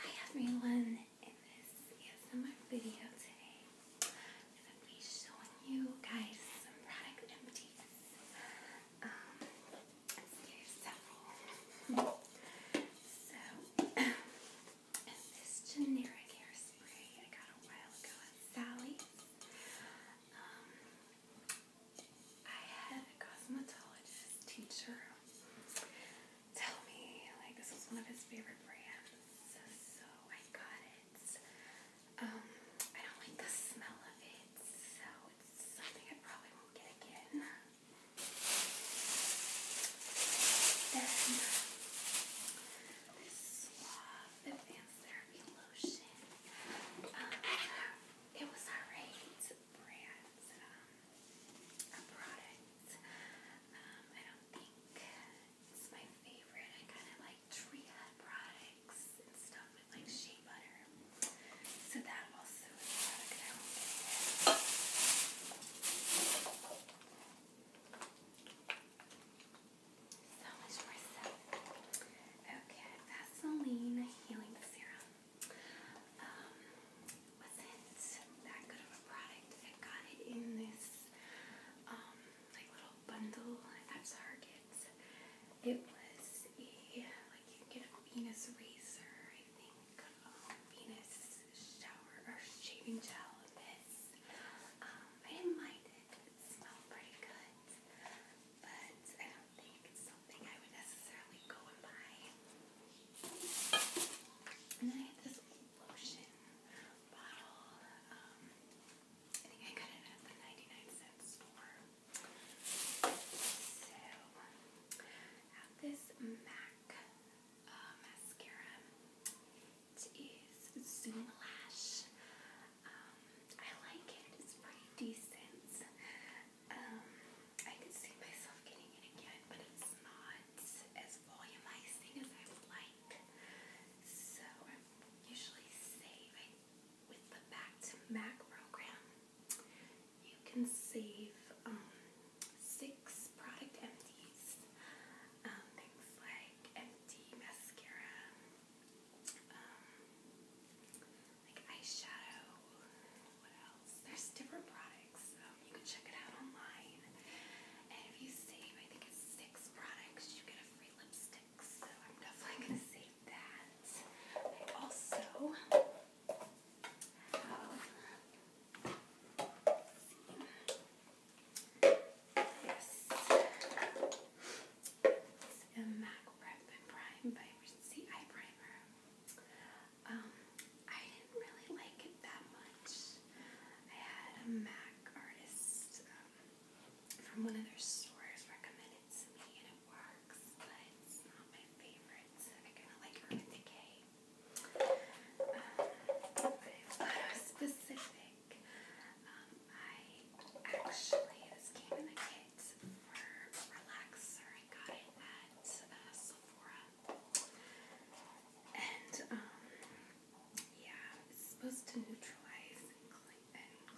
Hi everyone, in this ASMR video today, I'm going to be showing you guys some product empties. Um, there's several. So, this generic hairspray I got a while ago at Sally's. Um, I had a cosmetologist teacher tell me like this was one of his favorite brands, so I got it. Um, I don't like the smell of it, so it's something I probably won't get again. Then this Suave Advanced Therapy Lotion. Um, it was alright brands, um, products. Um, I don't think it's my favorite. I kind of like tree hut products and stuff with like shea butter. So that also is a product I Healing Serum wasn't um, that good of a product. I got it in this um, like little bundle at Target. It was a like you get a Venus razor, I think, um, Venus shower or shaving gel in this. I didn't mind it. smelled pretty good, but don't think it's something I would necessarily go and buy. And then I had this lotion bottle. Um, I think I got it at the 99 cent store. So, I have this MAC uh, mascara. It is Zoom Lash. I like it. It's pretty decent. Um, I could see myself getting it again, but it's not as volumizing as I like. So I usually save with the Back to Mac program. You can save um, six product empties. Um, things like empty mascara, um, like eyeshadow. What else? There's different products. you can check it out online. And if you save, I think it's six products, you get a free lipstick. So I'm definitely gonna save that. also have is the MAC Prep and Prime by Recency Eye Primer. Um, I didn't really like it that much. I had a MAC artist um, from one of their stores recommend it to me and it works, but it's not my favorite. I kind of like Urban Decay. Um, but I was specific um, I actually, this came in the kit for Relaxer. I got it at uh, Sephora. And, um, yeah, it's supposed to neutralize and,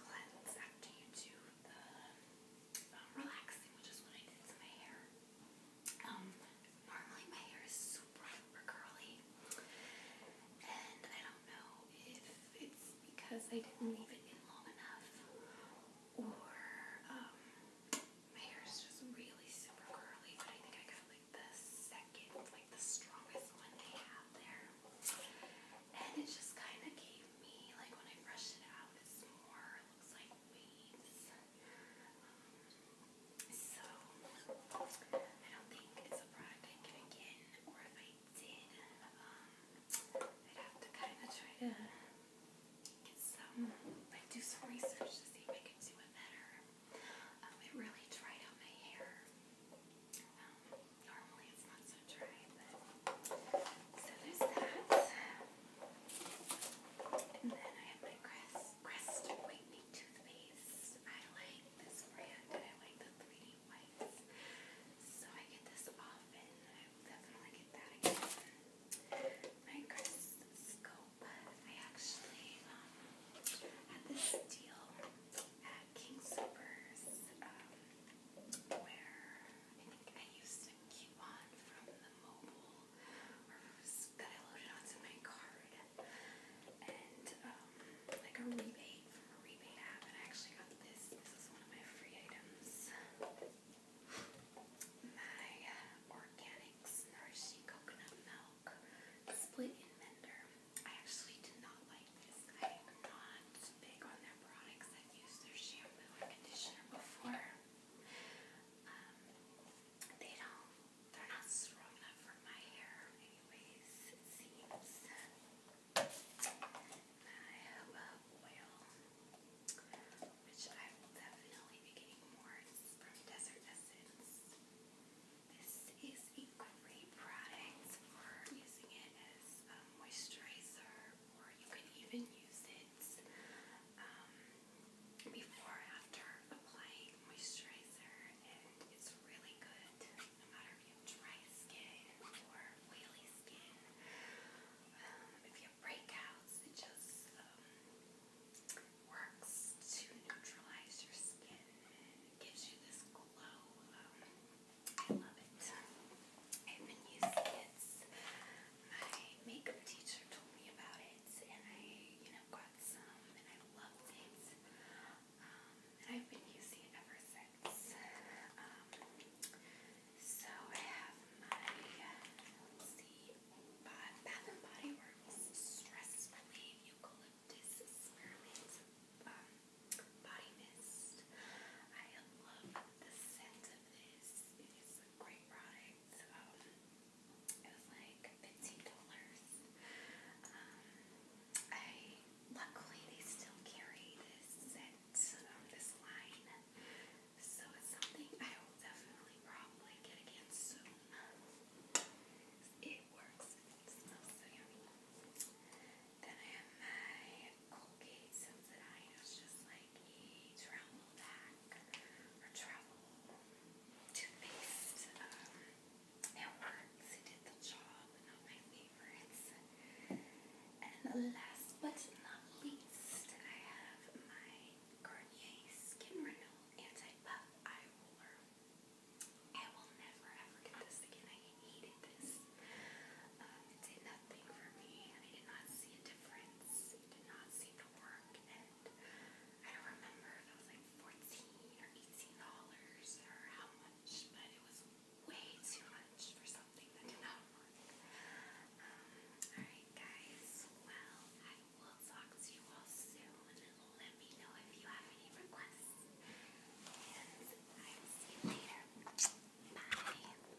cleanse after you do the um, relaxing, which is what I did to my hair. normally my hair is super or curly. And I don't know if it's because I didn't leave it in long enough or um, my hair is just really super curly, but I think I got like the second, like the strongest one they have there. And it just kind of gave me, like when I brushed it out, it's more, looks like waves. Um, so, I don't think the I'm gonna or if I did, um, I'd have to kind of try to get some, like, do some research to see if I can do it better. Um, it really dried out my hair. Um, normally it's not so dry, but so there's that. And then I have my crisp this Crest Whitening Toothpaste. I like this brand and I like the 3D whites. So I get this often. I definitely get that again. My Crest I actually um, had this deal at King Supers um, where I think I used a coupon from the mobile that I loaded onto my card and um, like a rebate from a rebate app. And I actually got this. This is one of my free items. My uh, Organics Nourishing Coconut Milk Split in Mender. I actually did not like this. I am not big on their products. I've used their shampoo and conditioner before. Um, they don't they're not strong enough for my hair, anyways, it seems. I have a uh, oil, which I will definitely be getting more. It's from Desert Essence. This is a great product for using it as a moisturizer, or you can even use it um, before after applying moisturizer and it's really good no matter if you dry skin or oily skin. Um, if you have breakouts, it just um, works to neutralize your skin and gives you this glow. Um, I love it. I've been using it my makeup teacher told me about it, and I, you know, got some, and I loved it. Um, I've been using it ever since. Um, so I have my, see, Bath and Body Works Stress Relief Eucalyptus Spearmint um, Body Mist. I love the scent of this. It is a great product. Um, it was like fifteen dollars. Um, I luckily they still carry this set, um, this line, so it's something I will definitely probably get again soon. It works. It smells so yummy. Then I have my Colgate Sensodyne. It's just like a travel bag or travel toothpaste um, networks who did the job, my favorites. And last but not least, I have my Garnier Skin Renewal Anti-Puff Eye Roller. I will never ever get this again. I hated this. Um, it did nothing for me. I did not see it difference. did not seem to work, and I don't remember if it was like fourteen or eighteen dollars or how much, but it was way too much for something that did not work. Um, Alright guys, well I will talk you all soon. Let me know if you have any requests. And I will see you later. Bye.